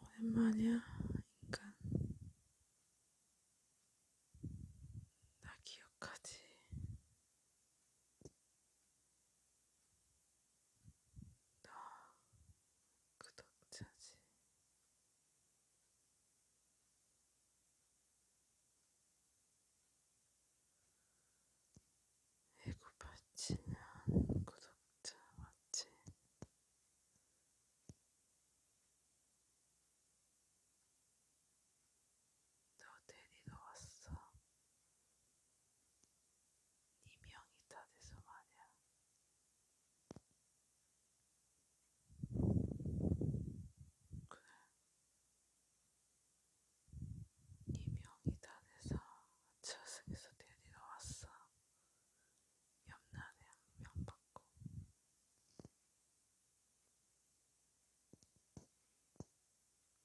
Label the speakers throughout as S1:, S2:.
S1: 오랜만이야, 인간. 나 기억하지? 너 구독자지. 배고파지는 구독자 맞지? 너 데리러 왔어. 네 명이 다 돼서 말이야. 그래, 이명이 네 단에서 저승에서 데리러 왔어. 옆날에 한명 받고.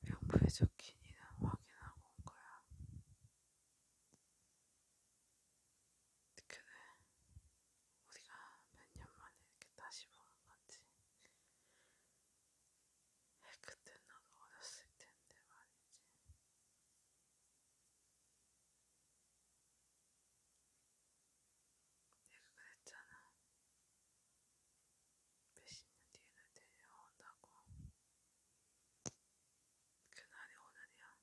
S1: 명부에 적힌 이는 확인하고 온 거야. 그래, 우리가 몇 년 만에 이렇게 다시 보는 건지. 예, 그때 나도 어렸을 텐데 말이지. 내가 그랬잖아. 몇십 년 뒤에는 데려온다고. 그날이 오늘이야.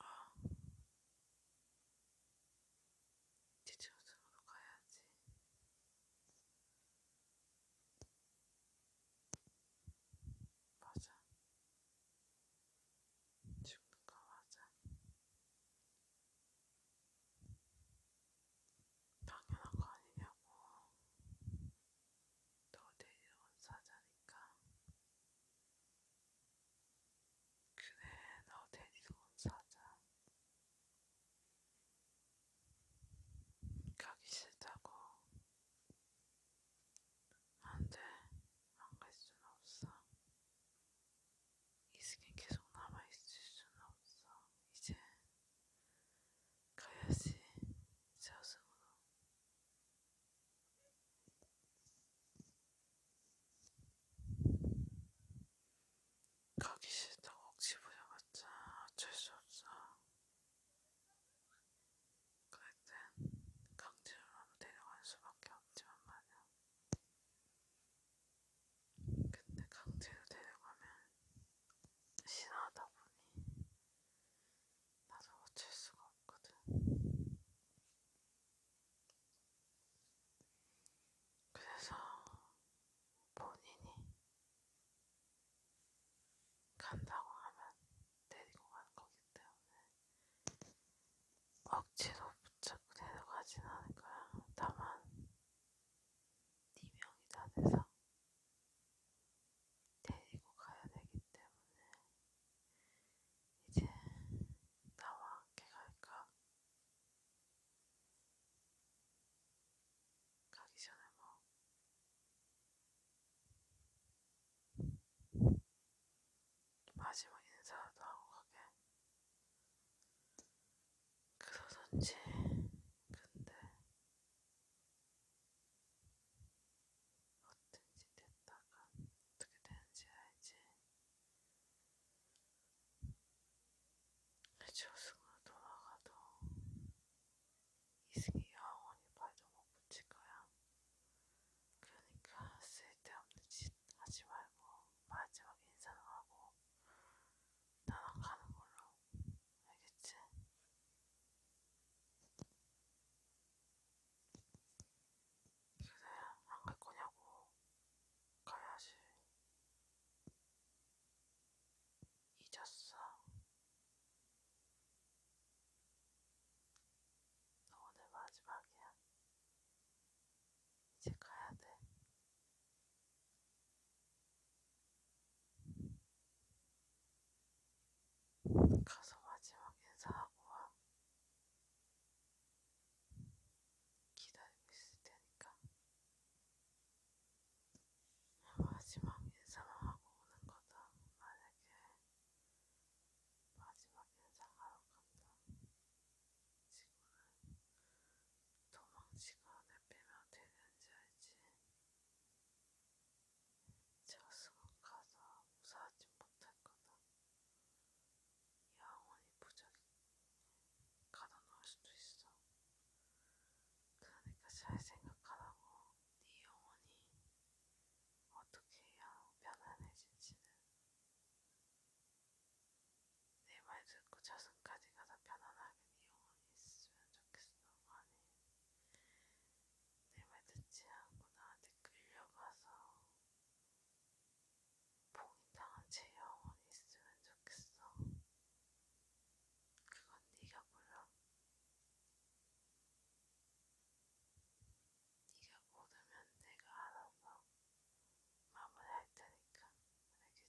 S1: 어. 지층으로 가야지. 맞아. 죽는 거 맞아. 당연한 거 아니냐고. 너 데리러 온 사자니까. 그는 어디서 온 사자. 가기 싫다고. 안 돼. 안 갈 수는 없어. 이 스킨 계속 남아있을 수는 없어. 이제 가야지. 저승으로. 가기 싫다 억지 부려봤자 어쩔 수 없어. 그럴 땐 강제로라도 데려갈 수밖에 없지만 말이야. 근데 강제로 데려가면 싫어하다 보니 나도 어쩔 수가 없거든. 그래서 본인이 간다고 하면 데리고 가는 거기 때문에 억지로 붙잡고 데려가진 않을 거야. 다만 네 명이 다 돼서 데리고 가야 되기 때문에 이제 나와 함께 갈까? 가기 전에 뭐 마지막 인사도 하고 가게 그러던지 근데 어떤지 됐다가 어떻게 되는지 알지 저승으로 돌아가도 이승이 영원히 발도 못 붙일 거야. 그러니까 쓸데없는 짓 하지 말고 마지막 인사를 하고 나랑 가는 걸로 알겠지? 안갈 거냐고. 가야지. 잊었어. 너 오늘 마지막이야. 이제 가야 돼. 가서 마지막 인사하고 와. 기다리고 있을 테니까 어, 마지막 인사만 하고 오는 거다. 만약에 마지막 인사하러 간다. 지구는 도망치거나 빼면 어떻게 되는지 알지? 저승은 가서 무사하지 못할 거다. 영원히 부적이 가둬놓을 수도 있어. 그러니까 잘 생각하라고. 네 영혼이 어떻게 해야 편안해질지는. 내 말 듣고 저승까지 가서 편안하게 네 영혼이 있으면 좋겠어. 아니, 내말 듣지 않고 나한테 끌려가서 봉이랑 제 영혼 있으면 좋겠어. 그건 네가 몰라. 네가 고르면 내가 알아서 마무리할 테니까 알겠지?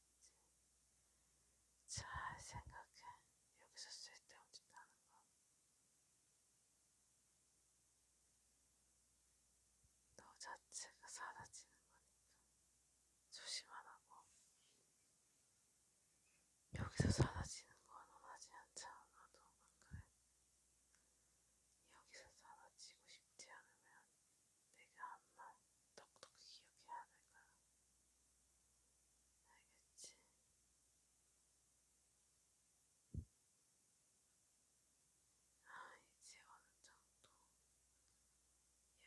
S1: 잘 생각해. 여기서 쓸데없는 짓 하는 거. 너 자체가 사라지는 거니까 조심하라고. 여기서 사라지는 건 원하지 않지 않아도 안 그래. 여기서 사라지고 싶지 않으면 내가 한말 똑똑히 기억해야 될 거야. 알겠지? 아, 이제 어느 정도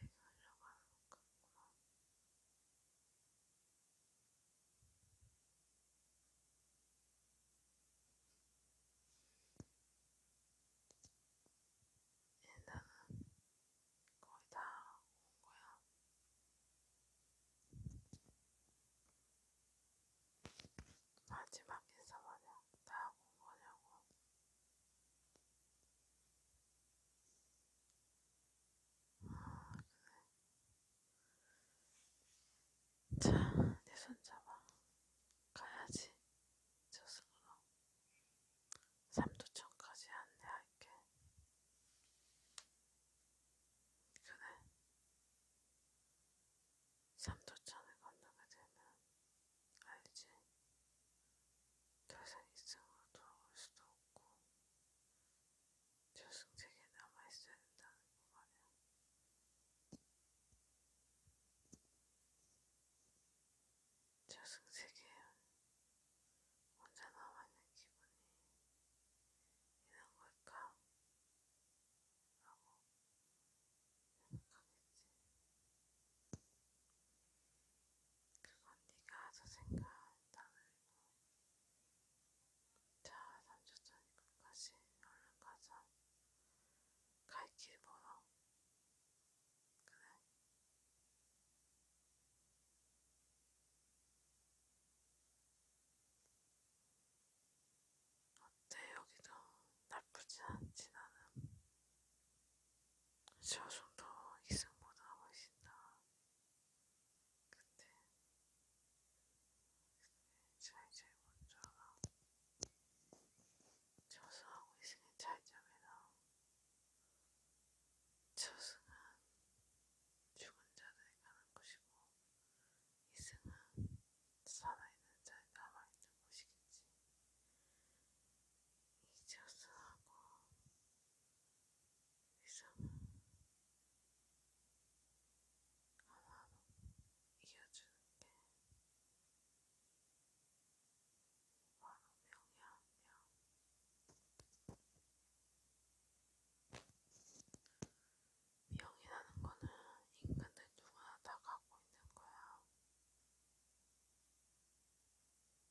S1: 얘기하려고 하는 것 같구나. 일단은 거의 다 온 거야. 마지막 인사 마냥 다온 거냐고. 자, 내손 잡아. 가야지. 저승으로. 삼도천까지 안내할게. 그래. 삼도천을 건너게 되면 알지? 더이상 이승으로 돌아올 수도 없고 저승세계에 남아있어야 된다는 거 말이야. 저승세계에 혼자 남아있는 기분이 이런 걸까? 라고 그건 네가 알아서 생각한다 말고 자 3초 전에 끝까지 얼른 가자 갈길 멀어 그래 근데 여기도 나쁘지 않진 않음. 저 정도 이승보다 훨씬 나. 근데 자 이제 먼저 저승하고 이승의 차이점이다. 저승은 죽은 자들이 가는 곳이고 이승은 살아있는 자에 남아있는 곳이겠지. 잊었어하고 이상은 하나로 이어주는 게 바로 명예하며 명이라는 거는 인간들 누구나 다 갖고 있는 거야.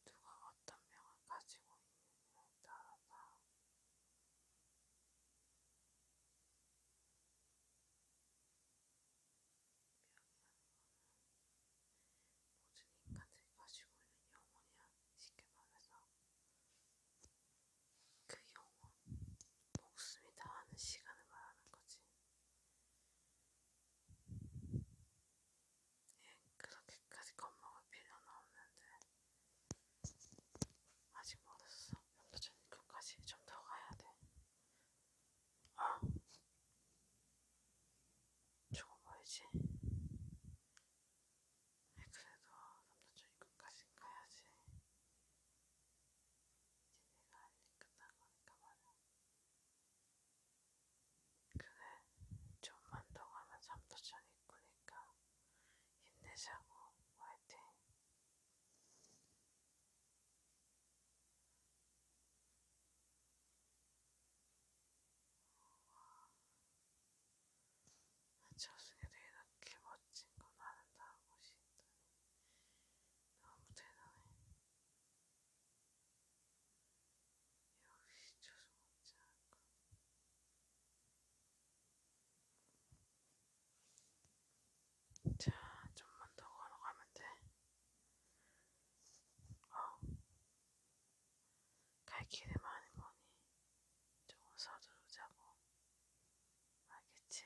S1: 누가 어떤 명을 가지고 있느냐에 따라서 모든 인간들이 가지고 있는 영혼이야. 쉽게 말해서 그 영혼, 목숨이 다하는 시간을 말하는 거지. 그렇게까지 겁먹을 필요는 없는데 아직 멀었어. 연도전 끝까지 좀 더 가야 돼. 어? 조금 멀지? 그래도 남자친구 끝까지 가야지. 이제 내가 할일 끝난 거니까 말이야. 그래, 좀만 더 가면 잠도 자니 꾸니까 힘내자고, 화이팅! 저승에도 이렇게 멋진 건 아는다 하고 싶다니 너무 대단해. 역시 조성원장. 자, 좀만 더 걸어가면 돼. 어, 갈 길이 많이 머니 조금 서두르자고. 알겠지?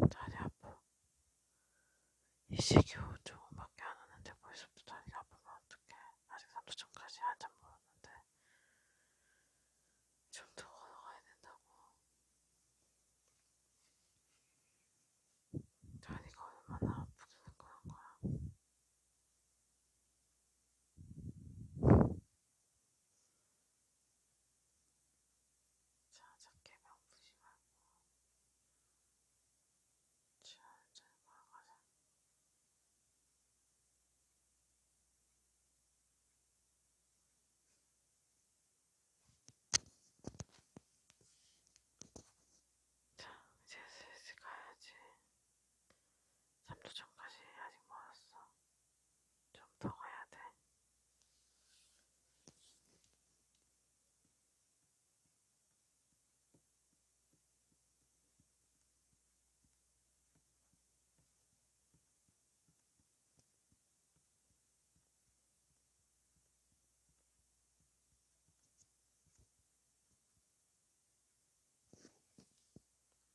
S1: 왜 다리 아파? 이 시기후 조금밖에 안 하는데 벌써부터 다리가 아프면 어떡해? 아직 3도천까지 한참 멀었는데 좀 더 걸어가야 된다고. 다리가 얼마나 아프길래 그런 거야? 자, 적게 명푸지 말고 천천히 걸어가자. 자, 이제 슬슬 가야지. 3도 전까지 아직 멀었어. 좀더 가야 돼.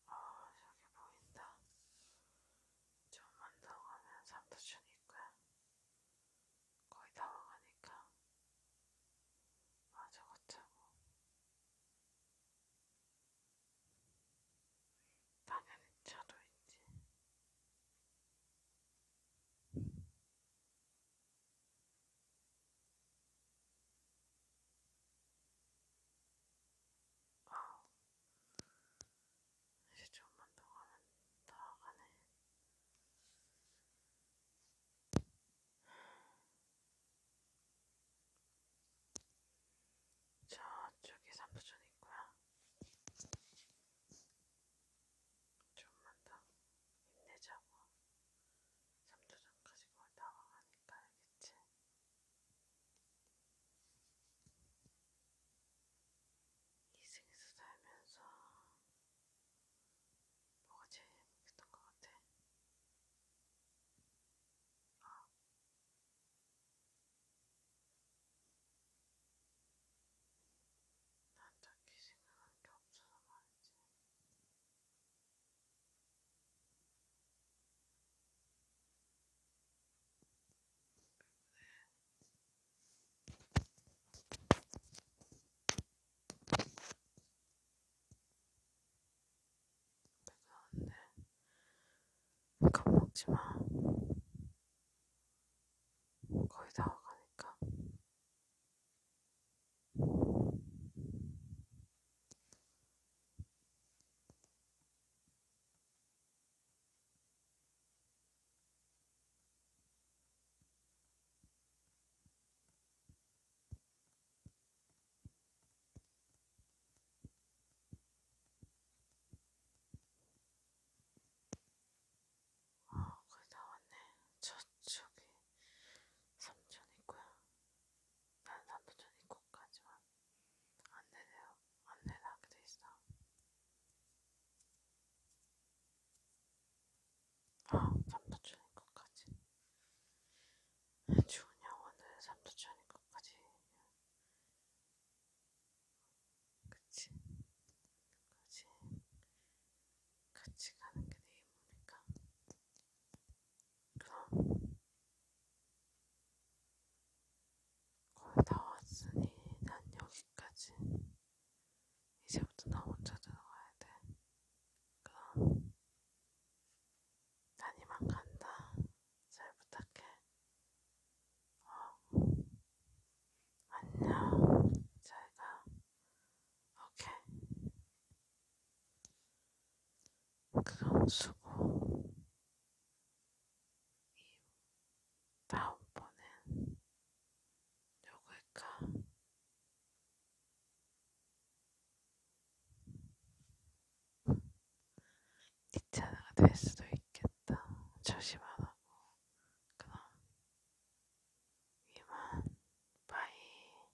S1: 아, 저기 보인다. 좀만 더 가면 3도주니까 거의 다 와가니까 마저 걷자고. 당연히 차도 있지. 아, 이제 좀만 더 가면 다 가네. 저쪽에 삼부전 있고요. 좀만 더 힘내자고. 삼도전까지 그걸 다 와가니까 알겠지? 이승에서 살면서 뭐가 제일 행복했던 것 같아? 아. 난 딱히 생각하는 게 없어서 말이지. 겁먹지마 거의 다 와가니까 어, 거의 다 왔네. 저쪽에 삼촌 있고요. 난 삼촌 있고까지만. 안내돼요. 안내를 하게 돼 있어. 아, 삼도천인 것까지. 좋은 영혼을 삼도천인 것까지. 그치. 그치. 같이 가는 게내 힘이니까. 거의 다 왔으니 난 여기까지. 이제부터 나 혼자 들어가야 돼. 그럼 난 이만 간다. 잘 부탁해. 어. 안녕. 잘 가. 오케이. 그럼 수고. 이 다음번엔 누굴까? 뒷차가 될 수도 있겠다. 조심하라고. 그럼 이만 바이.